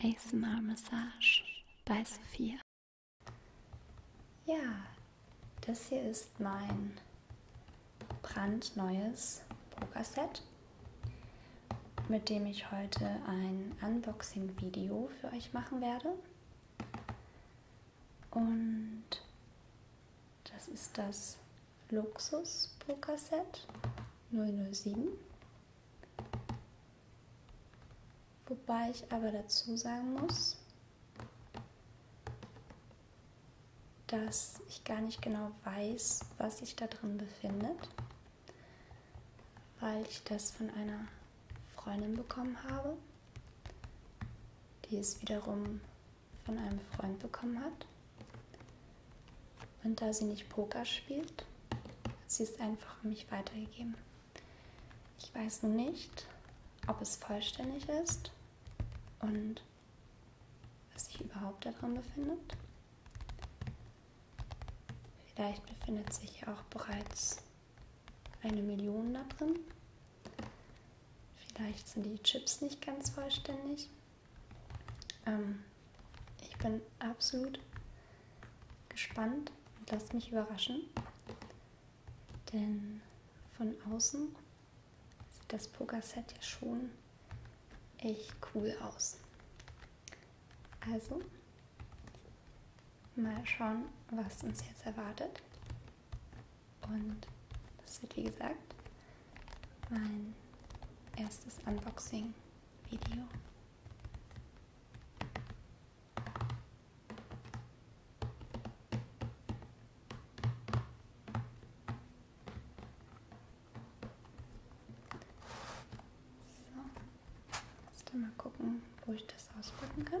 ASMR Massage bei Sophia. Ja, das hier ist mein brandneues Pokerset, mit dem ich heute ein Unboxing-Video für euch machen werde. Und das ist das Luxus Pokerset 007. Wobei ich aber dazu sagen muss, dass ich gar nicht genau weiß, was sich da drin befindet, weil ich das von einer Freundin bekommen habe, die es wiederum von einem Freund bekommen hat. Und da sie nicht Poker spielt, hat sie es einfach an mich weitergegeben. Ich weiß nun nicht, ob es vollständig ist und was sich überhaupt daran befindet. Vielleicht befindet sich ja auch bereits eine Million da drin. Vielleicht sind die Chips nicht ganz vollständig. Ähm, ich bin absolut gespannt und lasst mich überraschen, denn von außen sieht das Pokerset ja schon echt cool aus. Also, mal schauen, was uns jetzt erwartet. Und das wird, wie gesagt, mein erstes Unboxing-Video. So, jetzt mal gucken, wo ich das auspacken kann.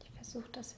Ich versuche das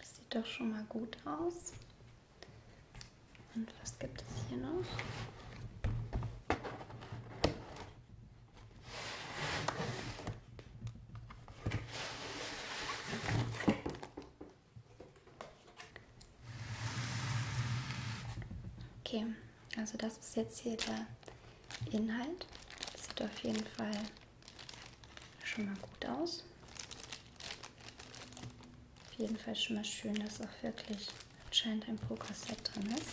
Das sieht doch schon mal gut aus. Und was gibt es hier noch? Okay. Also das ist jetzt hier der Inhalt. Das sieht auf jeden Fall schon mal gut aus. Auf jeden Fall schon mal schön, dass auch wirklich anscheinend ein Pokerset drin ist.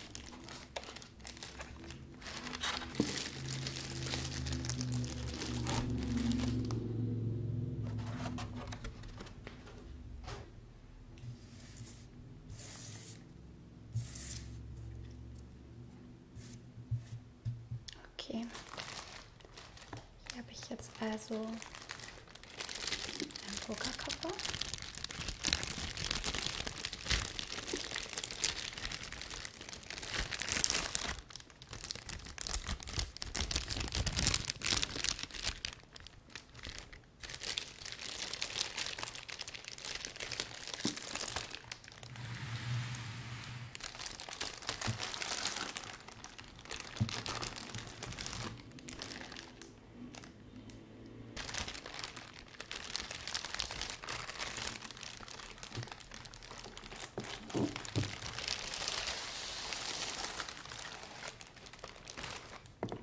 Okay. Hier habe ich jetzt also einen Pokerkoffer.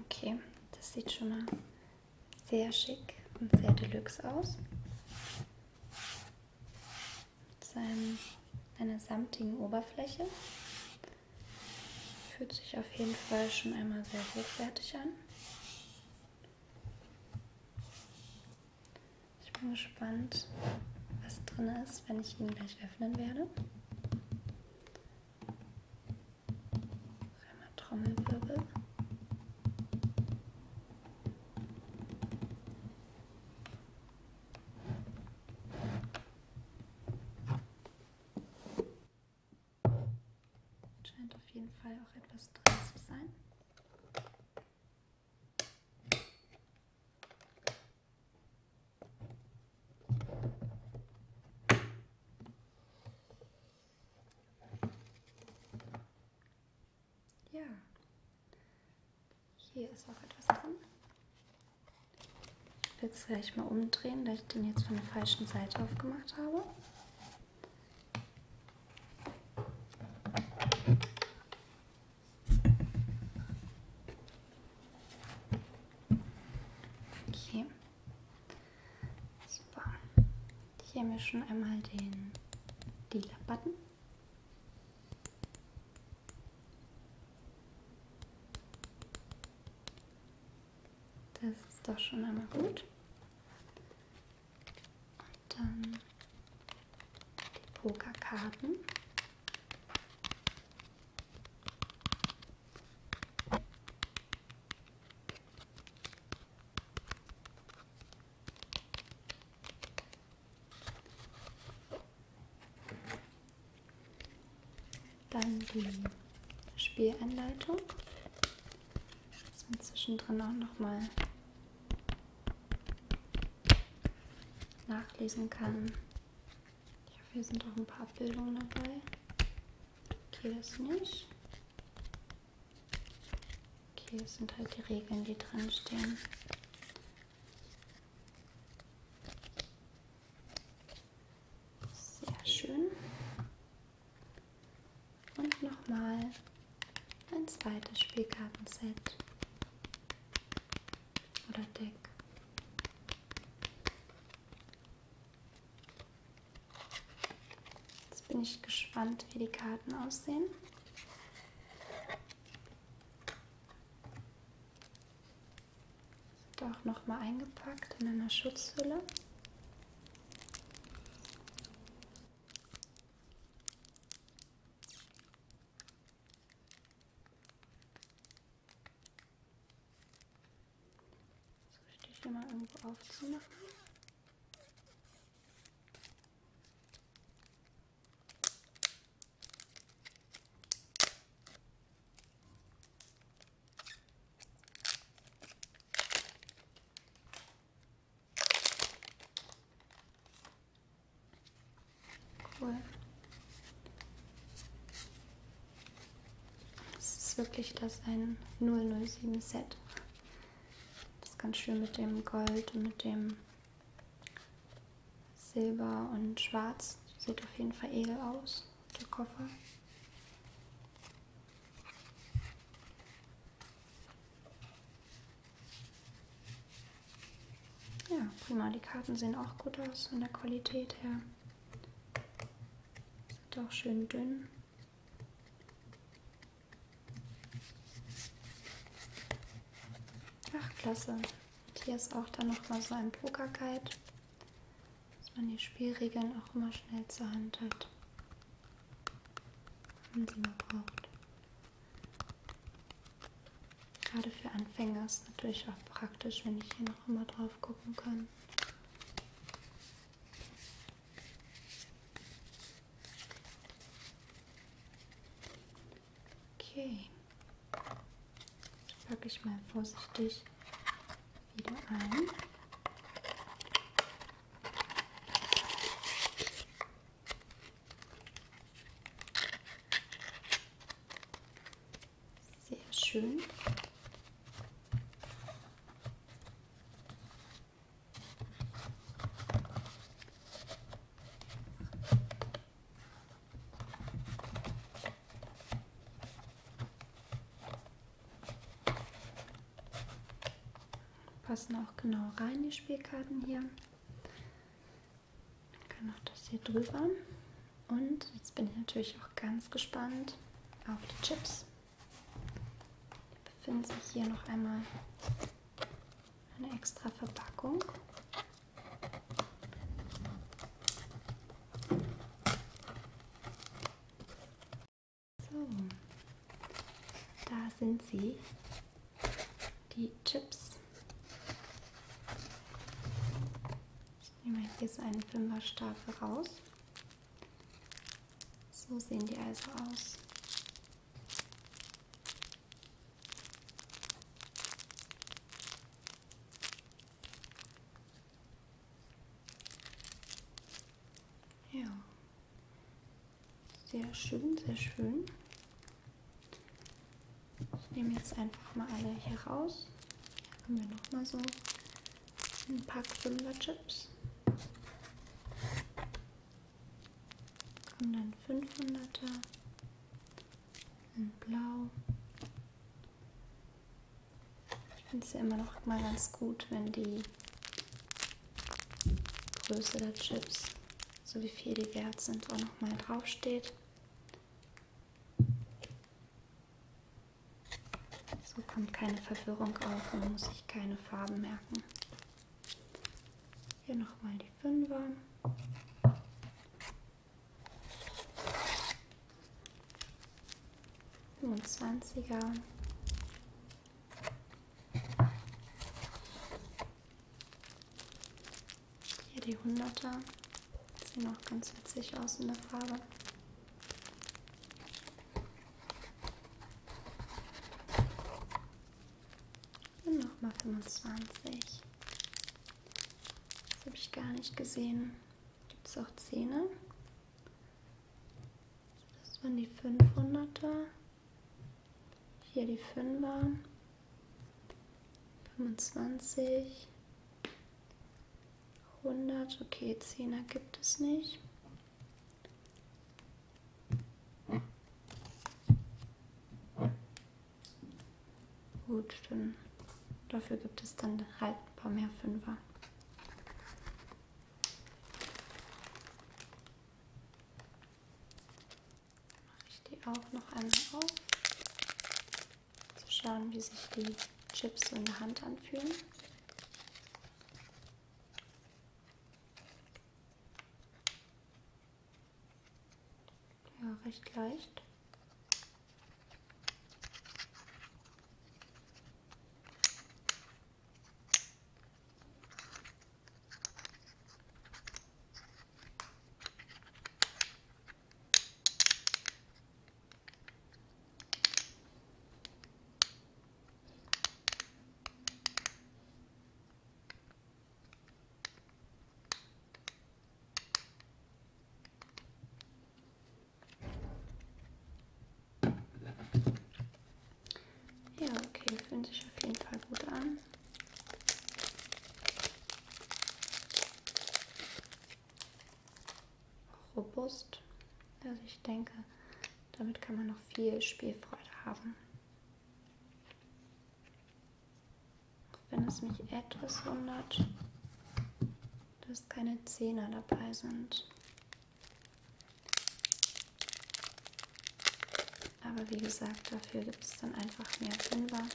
Okay, das sieht schon mal sehr schick und sehr deluxe aus. Mit seinem, einer samtigen Oberfläche. Fühlt sich auf jeden Fall schon einmal sehr hochwertig an. Ich bin gespannt, was drin ist, wenn ich ihn gleich öffnen werde. Einmal Trommelwirbel. Scheint auf jeden Fall auch etwas drin zu sein. Ja, hier ist auch etwas drin. Ich will es gleich mal umdrehen, da ich den jetzt von der falschen Seite aufgemacht habe. Okay. Super. Hier mischen einmal den Dealer-Button. Das ist doch schon einmal gut. Und dann die Pokerkarten. Dann die Spielanleitung. Dass man zwischendrin auch nochmal nachlesen kann. Ich hoffe, hier sind auch ein paar Abbildungen dabei. Okay, das nicht. Okay, es sind halt die Regeln, die drin stehen. Sehr schön. Und nochmal ein zweites Spielkartenset oder Deck. Jetzt bin ich gespannt, wie die Karten aussehen. Sind auch nochmal eingepackt in einer Schutzhülle. aufzumachen. Cool. Das ist wirklich das ein 007 Set. Das ist ganz schön mit dem Gold und mit dem Silber und Schwarz. Sieht auf jeden Fall edel aus, der Koffer. Ja, prima. Die Karten sehen auch gut aus von der Qualität her. Sind auch schön dünn. Ach, klasse. Und hier ist auch dann nochmal so ein Poker-Guide, dass man die Spielregeln auch immer schnell zur Hand hat, wenn man sie mal braucht. Gerade für Anfänger ist natürlich auch praktisch, wenn ich hier noch immer drauf gucken kann. Okay. Packe ich mal vorsichtig wieder ein. Sehr schön. Passen auch genau rein die Spielkarten hier. Dann kann auch das hier drüber. Und jetzt bin ich natürlich auch ganz gespannt auf die Chips befinden sich hier noch einmal eine extra Verpackung. So, da sind sie, die Chips. Ich nehme hier so einen Fünferstapel raus. So sehen die also aus. Ja. Sehr schön, sehr schön. Ich nehme jetzt einfach mal alle hier raus. Hier haben wir nochmal so ein Pack Fünfer Chips. Kommen dann 500er in Blau. Ich finde es ja immer noch mal ganz gut, wenn die Größe der Chips, so wie viel die wert sind, auch noch mal draufsteht. So kommt keine Verwirrung auf und muss sich keine Farben merken. Hier nochmal die Fünfer. Und 20er. Hier die 100er. Sehen auch ganz witzig aus in der Farbe. Und nochmal 25. Das habe ich gar nicht gesehen. Gibt es auch Zähne? Das waren die 500er. Hier die 5er. 25. 100. Okay, 10er gibt es nicht. Gut, dann dafür gibt es dann halt ein paar mehr Fünfer. Mache ich die auch noch einmal auf, zu schauen, wie sich die Chips in der Hand anfühlen. Ja, recht leicht. Ja, okay, fühlen sich auf jeden Fall gut an. Robust. Also ich denke, damit kann man noch viel Spielfreude haben. Auch wenn es mich etwas wundert, dass keine Zehner dabei sind. Aber wie gesagt, dafür gibt es dann einfach mehr Fünfer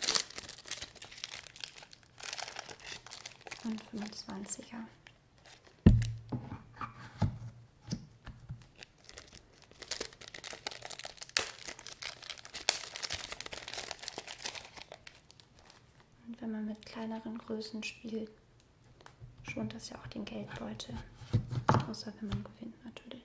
und 25er. Und wenn man mit kleineren Größen spielt, schont das ja auch den Geldbeutel. Außer wenn man gewinnt natürlich.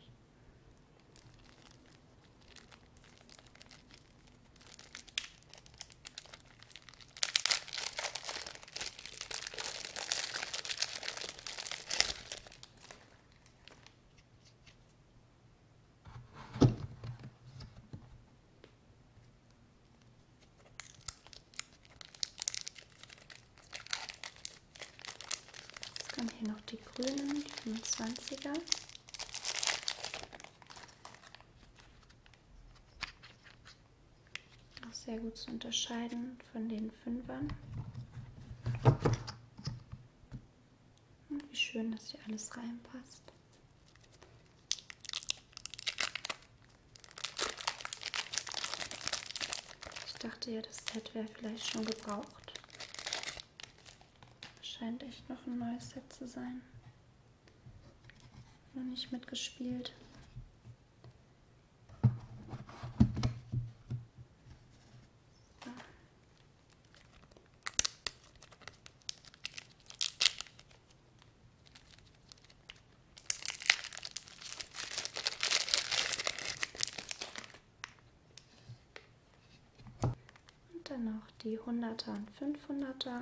Jetzt kommen hier noch die grünen, die 25er. Auch sehr gut zu unterscheiden, und von den Fünfern. Und wie schön, dass hier alles reinpasst. Ich dachte ja, das Set wäre vielleicht schon gebraucht. Scheint echt noch ein neues Set zu sein. Noch nicht mitgespielt. Und dann noch die 100er und 500er.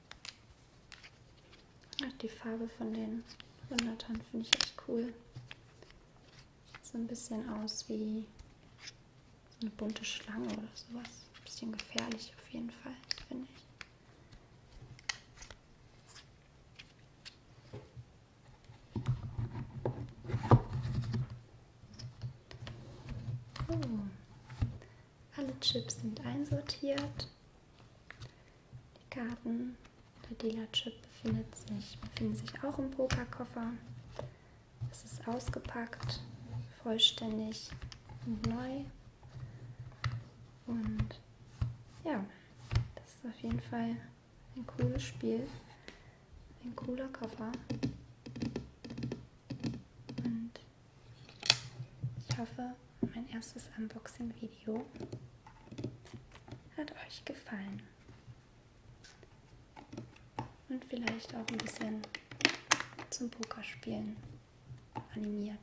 Ach, die Farbe von den Hundertern finde ich echt cool. So ein bisschen aus wie so eine bunte Schlange oder sowas. Ein bisschen gefährlich auf jeden Fall, finde ich. So. Oh. Alle Chips sind einsortiert. Die Karten, der Dealer-Chip befindet sich, befinden sich auch im Pokerkoffer. Es ist ausgepackt, vollständig und neu. Und ja, das ist auf jeden Fall ein cooles Spiel, ein cooler Koffer. Und ich hoffe, mein erstes Unboxing-Video hat euch gefallen. Und vielleicht auch ein bisschen zum Pokerspielen animiert.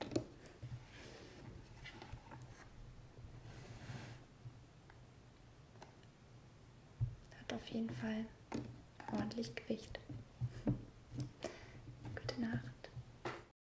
Hat auf jeden Fall ordentlich Gewicht. Gute Nacht.